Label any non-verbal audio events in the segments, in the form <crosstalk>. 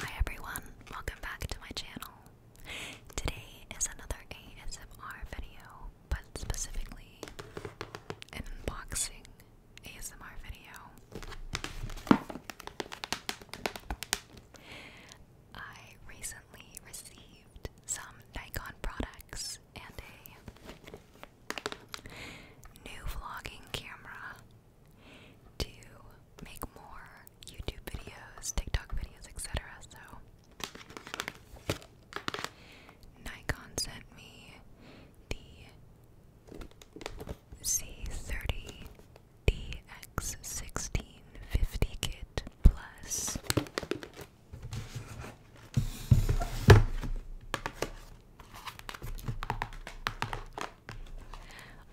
Hi everyone, welcome back to my channel. Today is another ASMR video, but specifically an unboxing ASMR video. I recently received some Nikon products and a new vlogging camera to make more YouTube videos, TikTok videos, etc. So Nikon sent me the C30DX1650 kit plus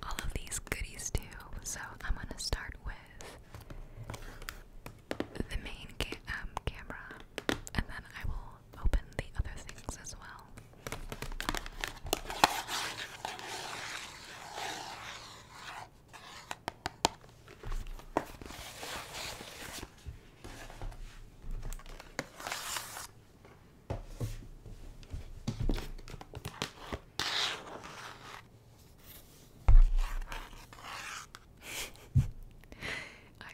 all of these goodies too. So I'm gonna start with the main um, camera, and then I will open the other things as well. <laughs> I'm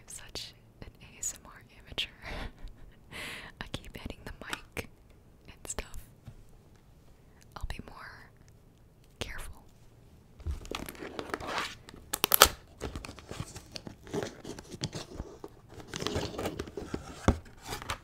such an ASMR amateur. <laughs> I keep hitting the mic and stuff. I'll be more careful.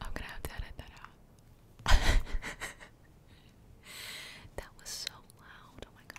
I'm gonna have to edit that out. <laughs> that was so loud. Oh my gosh.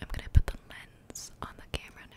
I'm gonna put the lens on the camera now.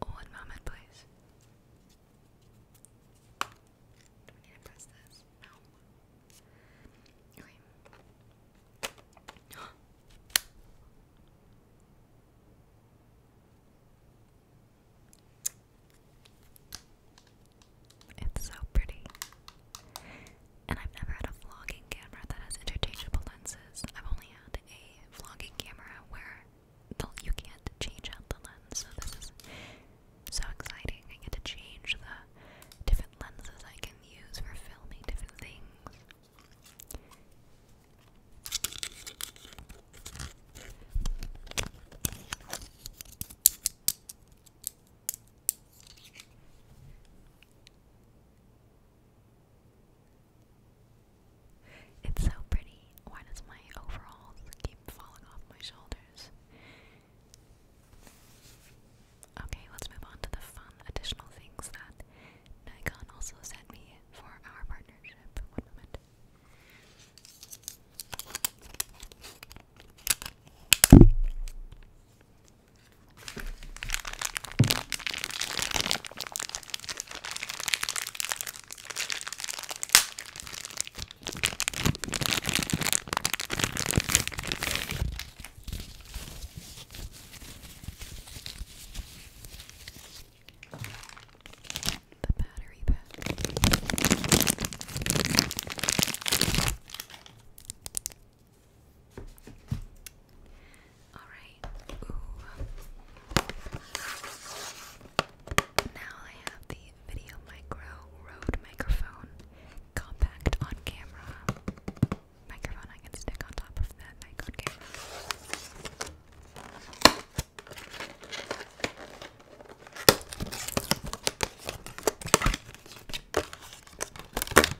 One moment, please. Do we need to press this? No. Okay. <gasps> It's so pretty and I've never had a vlogging camera that has interchangeable lenses. I've only had a vlogging camera where the, you can't change out the lens, so this is so exciting. I get to change the different lenses I can use for filming different things. It's so pretty. Why does my overalls keep falling off my shoulders? Okay, let's move on to the fun additional things that Nikon also sent me for our partnership. One moment. The battery pack. Alright. Now I have the Video Micro Rode microphone. Compact on camera. Microphone I can stick on top of that mic camera. <gasps>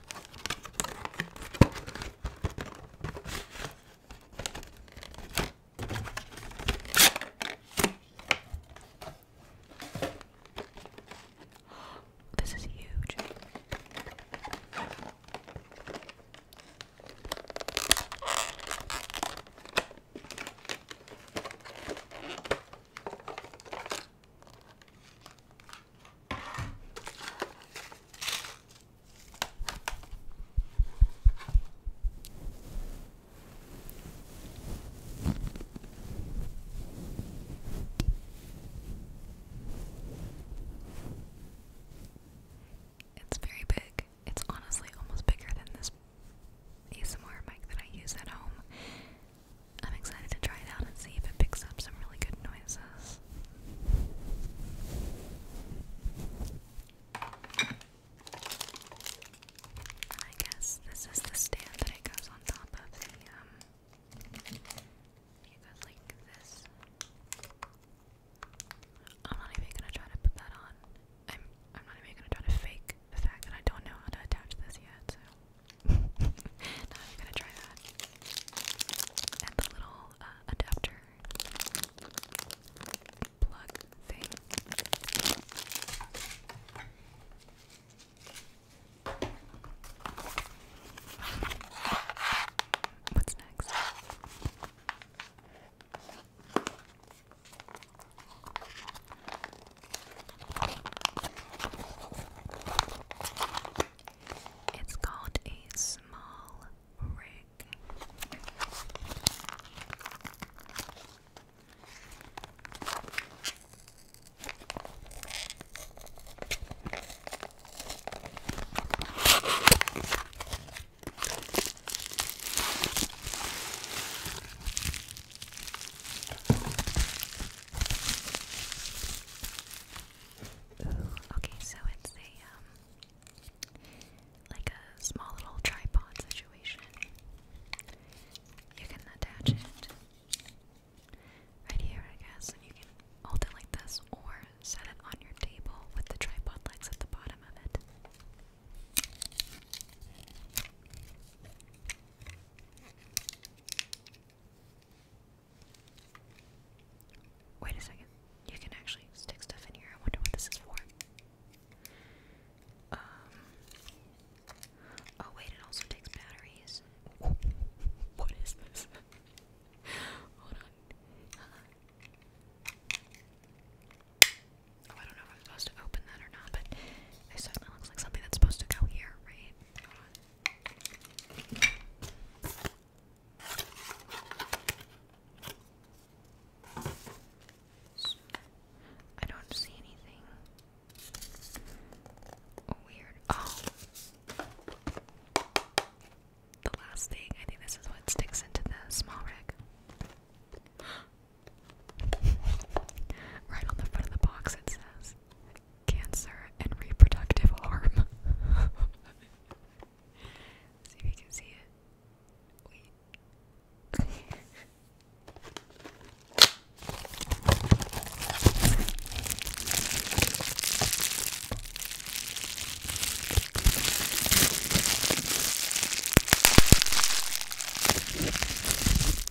This is huge. It's very big. It's honestly almost bigger than this ASMR mic that I use at home. I'm excited to try it out and see if it picks up some really good noises. I guess this is the stand that it goes on top of the, um, like this. I'm not even gonna try to put that on. I'm, I'm not even gonna try to fake the fact that I don't know how to attach this yet, so. <laughs> not even gonna try that. And the little uh, adapter plug thing. What's next? It's called a small rig okay, so it's a um, like a small little tripod situation. You can attach it right here, I guess, and you can hold it like this or set it on your table with the tripod legs at the bottom of it. Wait a second. You can actually stick stuff in here. I wonder what this is for. Um, oh wait, it also takes batteries. <laughs> what is this? <laughs> Hold on. Oh, I don't know if I'm supposed to open that or not, but it certainly looks like something that's supposed to go here, right? I don't see anything weird. Oh, the last thing I think this is what sticks into the small rack. <gasps> right on the front of the box, it says cancer and reproductive harm. <laughs> see if you can see it. Wait. <laughs>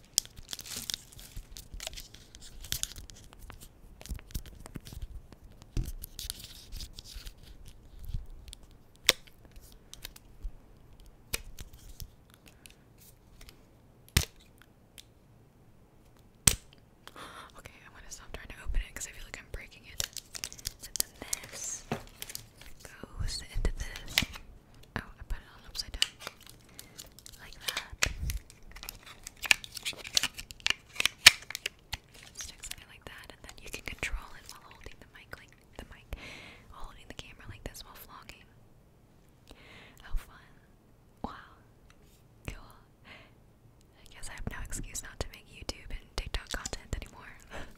Okay, I'm gonna stop trying to open it because I feel like I'm breaking it. And then this goes into this. Oh, I put it on upside down. Like that. Stick something like that, and then you can control it while holding the mic, like the mic, holding the camera like this while vlogging. How fun! Wow, cool. I guess I have no excuse not to make YouTube and TikTok content anymore. <laughs>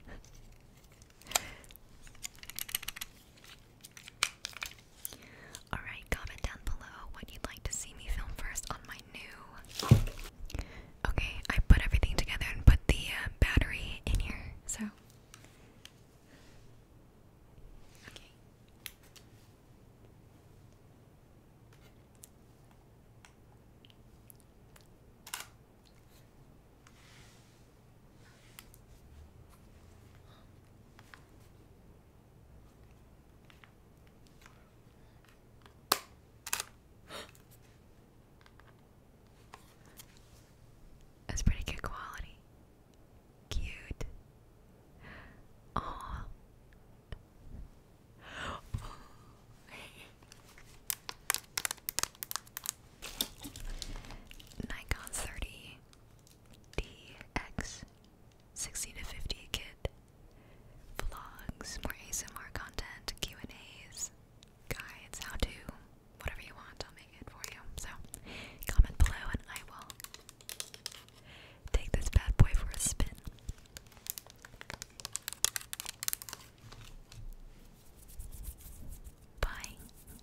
Alright, comment down below what you'd like to see me film first on my new. Okay, I put everything together and put the uh, battery in here, so. That's pretty good quality. Cute. Oh. <gasps> Nikon 30 DX 60 to 50 kid vlogs, more ASMR content, Q&As, guides, how to, whatever you want, I'll make it for you. So comment below and I will take this bad boy for a spin. Bye.